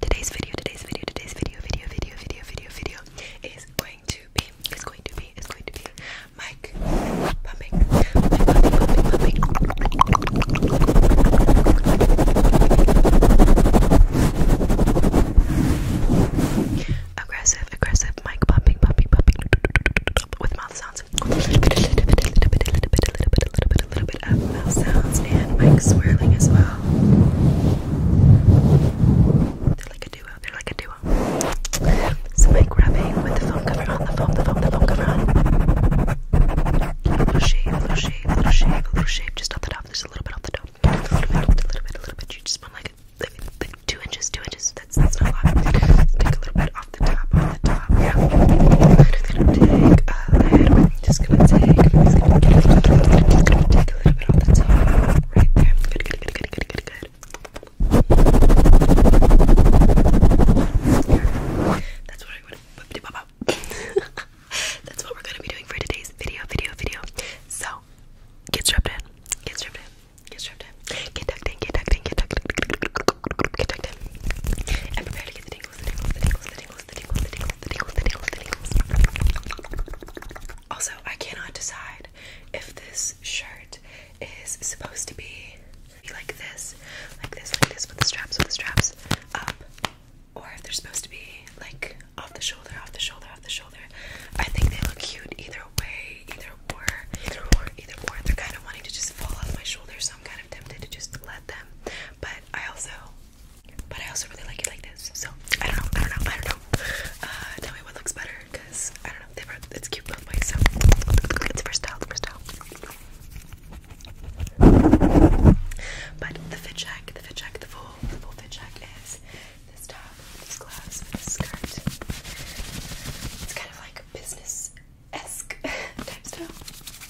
today's video, today's video, today's video, video, video, video, video, is going to be, is going to be, is going to be mic pumping, Aggressive, aggressive mic pumping, pumping, pumping with mouth sounds and mic swirling as well. They're like a duo. They're like a duo. Somebody grabbing with the phone cover on the phone, the phone, the phone cover on. Little shave, little shave, little shave, little shave, just off the top, just a little bit off the top. A little bit, a little bit, a little bit, a little bit. You just want like, like, like two inches, two inches. That's that's not a lot. Take a little bit off the top, off the top. Yeah. Take a little bit just gonna take, just gonna take, a little bit off the top. Right there. Good, good, good, good, good, good, good. That's what I would That's what we're gonna be doing for today's video, video, video. So get strapped in, get strapped in, get strapped in, get tucked in, get tucked in, get tucked in, get tucked in, and prepare to get the also, I cannot decide if this shirt is supposed to be like this, like this, like this, with the straps, with the straps up, or if they're supposed to be like off the shoulder, off the shoulder, off the shoulder. I think they look cute either way, either way, either way, either way. They're kind of wanting to just fall off my shoulders, so I'm kind of tempted to just let them. But I also but I also really like it like this. So I don't know. I don't know. I don't know. Uh, tell me what looks better, cause I don't know. They both it's cute both ways. So it's first style. first style. But the fit check, the fit check, the full, the full fit check is this top, these gloves, and this skirt. It's kind of like business esque type style.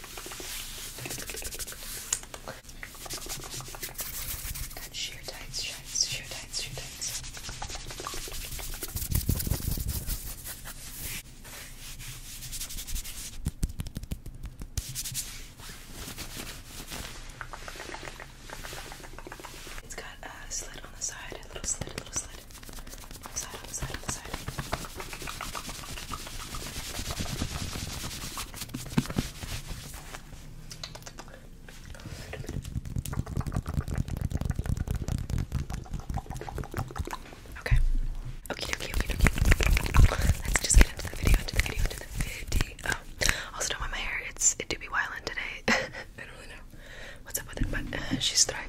Got sheer tights, shirts, sheer tights, sheer tights. It's got a slit on the side, a little slit, a little slit. Upside, upside, upside. Okay. Let's just get into the video, into the video, into the video. Um, also don't mind my hair. It's it do be wild today. what's up with it, but uh, she's thriving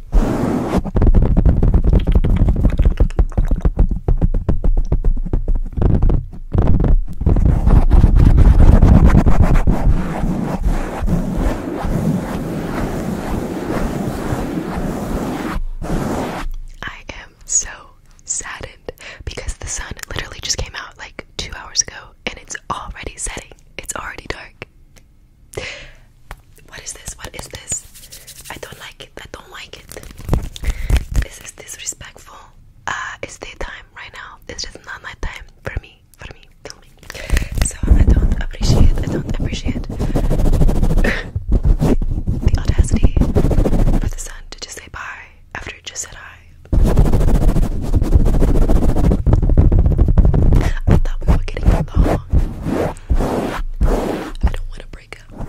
I am so saddened because the sun literally just came out like two hours ago and it's already setting. It's already dark. What is this? What is this? I don't like it. I don't like it. This is disrespectful. Uh, it's daytime right now. This is not night time for me. For me, tell me. So I don't appreciate. I don't appreciate the audacity for the sun to just say bye after it just said hi. I thought up for getting along. I don't want to break up.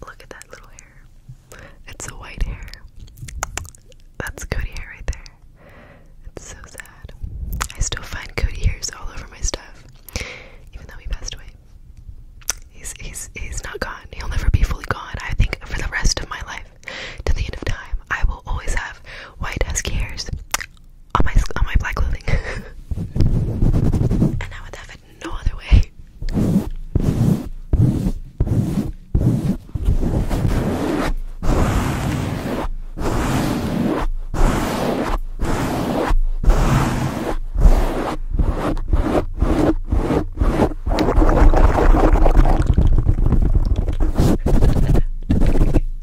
Look at that little hair. It's a white hair. That's Cody hair right there. It's so sad. I still find Cody hairs all over my stuff, even though he passed away. He's he's he's not gone. He'll never be fully gone. I think for the rest of my life, to the end of time, I will always have white husky hairs on my on my black clothing, and I would have it no other way.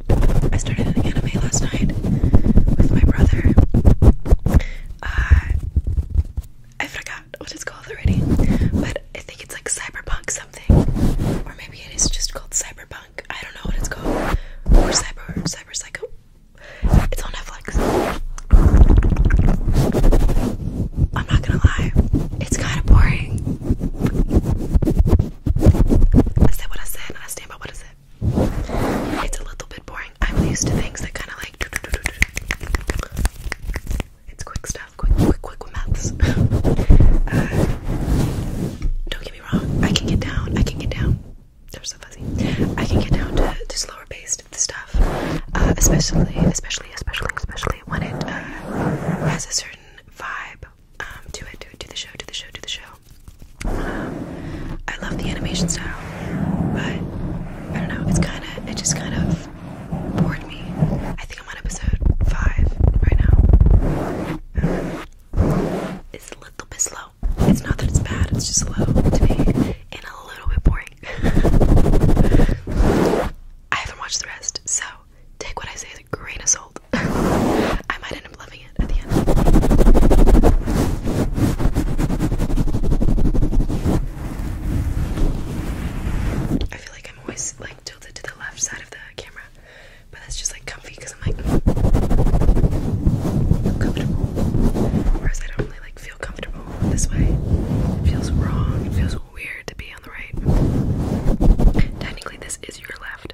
I started an anime last night with my brother. Uh, I forgot what it's called already, but I think it's like cyberpunk something, or maybe it is just called cyberpunk. I don't know what it's called, or cyber cyber psycho. It's on Netflix. I'm not gonna lie, it's kind of boring. I said what I said, and I stand by what I said. It's a little bit boring. I'm used to things that kind of like. It's quick stuff, quick, quick, quick maths. uh, don't get me wrong, I can get down, I can get down. They're so fuzzy. I can get down to, to slower paced stuff, uh, especially, especially, especially, especially when it uh, has a certain vibe um, to it, to it, to the show, to the show, to the show. I love the animation style, but I don't know. It's kind of it just kind of bored me. I think I'm on episode five right now. it's a little bit slow. It's not that it's bad. It's just slow to me and a little bit boring. I haven't watched the rest, so take what I say as a grain of salt. I might end up loving it at the end. I feel like I'm always like tilted to the left side of the camera, but that's just like comfy because I'm like comfortable. Whereas I don't really like feel comfortable this way. It feels wrong. It feels weird to be on the right. Technically, this is your left.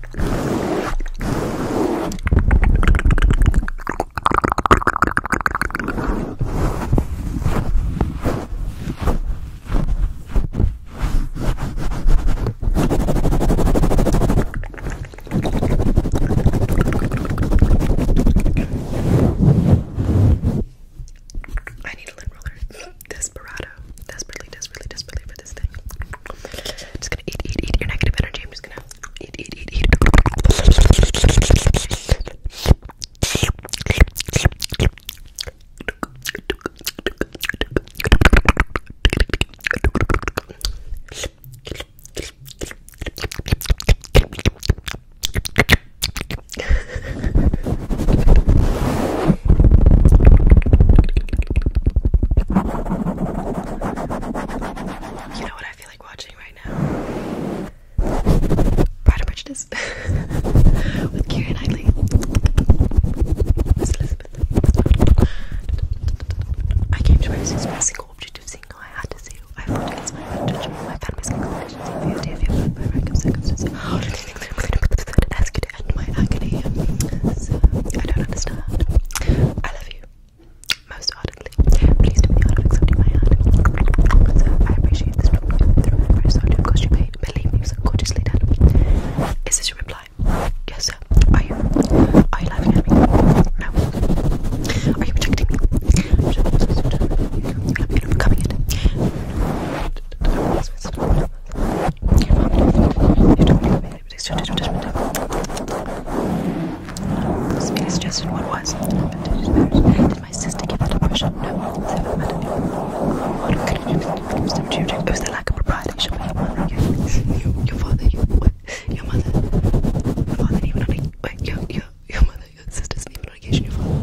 I need a lint roller. Desperado. Desperately, desperately, desperately, with this thing. I'm just gonna eat, eat, eat your negative energy. I'm just gonna eat, eat, eat, eat. You know what I feel like watching right now? Pride and Prejudice with Keira Knightley. Miss Elizabeth. I came to Roses for a single objective single I had to see. I fought against my own judgment, my family's could my agony. So, I don't understand. I love you most ardently. Please do me out of accepting my hand. I appreciate this problem through my first audio because you paid. Believe me, it was gorgeously Is this your reply? Yes, sir. Are you? Are you laughing at me? No. Are you protecting me? I'm sure coming in. You don't know me just suggested what was. Did my sister give her depression? No, they haven't met anyone. What could it be? Some children. It was the lack of propriety. Should be your, your father, your, your mother. Your father even on a, wait, your, your, your mother, your sister didn't even on occasion, your father.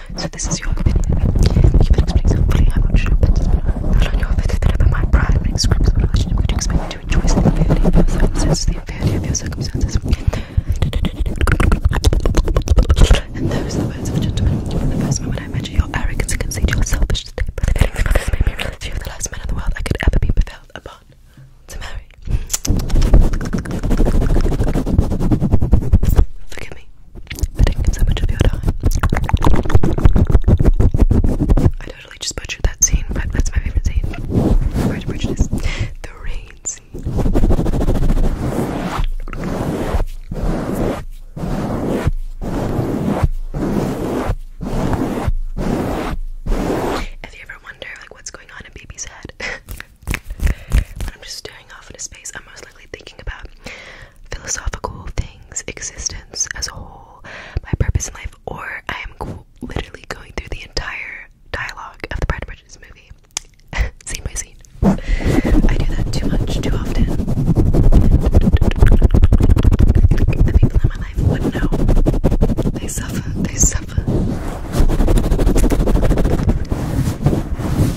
So this is your opinion. You can explain something. I'm not sure, but I'll uh, your opinion that my prime and scripts of a relationship would expect me to rejoice in the inferiority of your the inferiority of your circumstances. And those are the words of a gentleman. From the first moment I met you, your arrogance conceded your selfish state, but the feelings of you're the last man in the world I could ever be prevailed upon to marry. Look at me. I totally just butchered that scene, but that's my favorite scene. The rain scene. you ever wonder like what's going on in baby's head, when I'm just staring off into space, I'm most likely thinking about philosophical things, existence as a whole, my purpose in life, or I am literally going through the entire dialogue of the Pride and Prejudice movie, scene by scene. I do that too much, too often. The people in my life would know. They suffer, they suffer.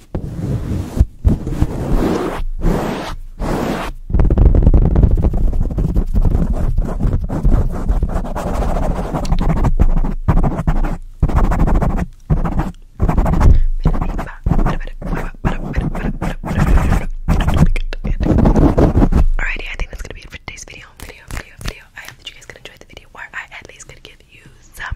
Alrighty, I think that's gonna be it for today's video, video, video, video. I hope that you guys could enjoy the video, where I at least could give you some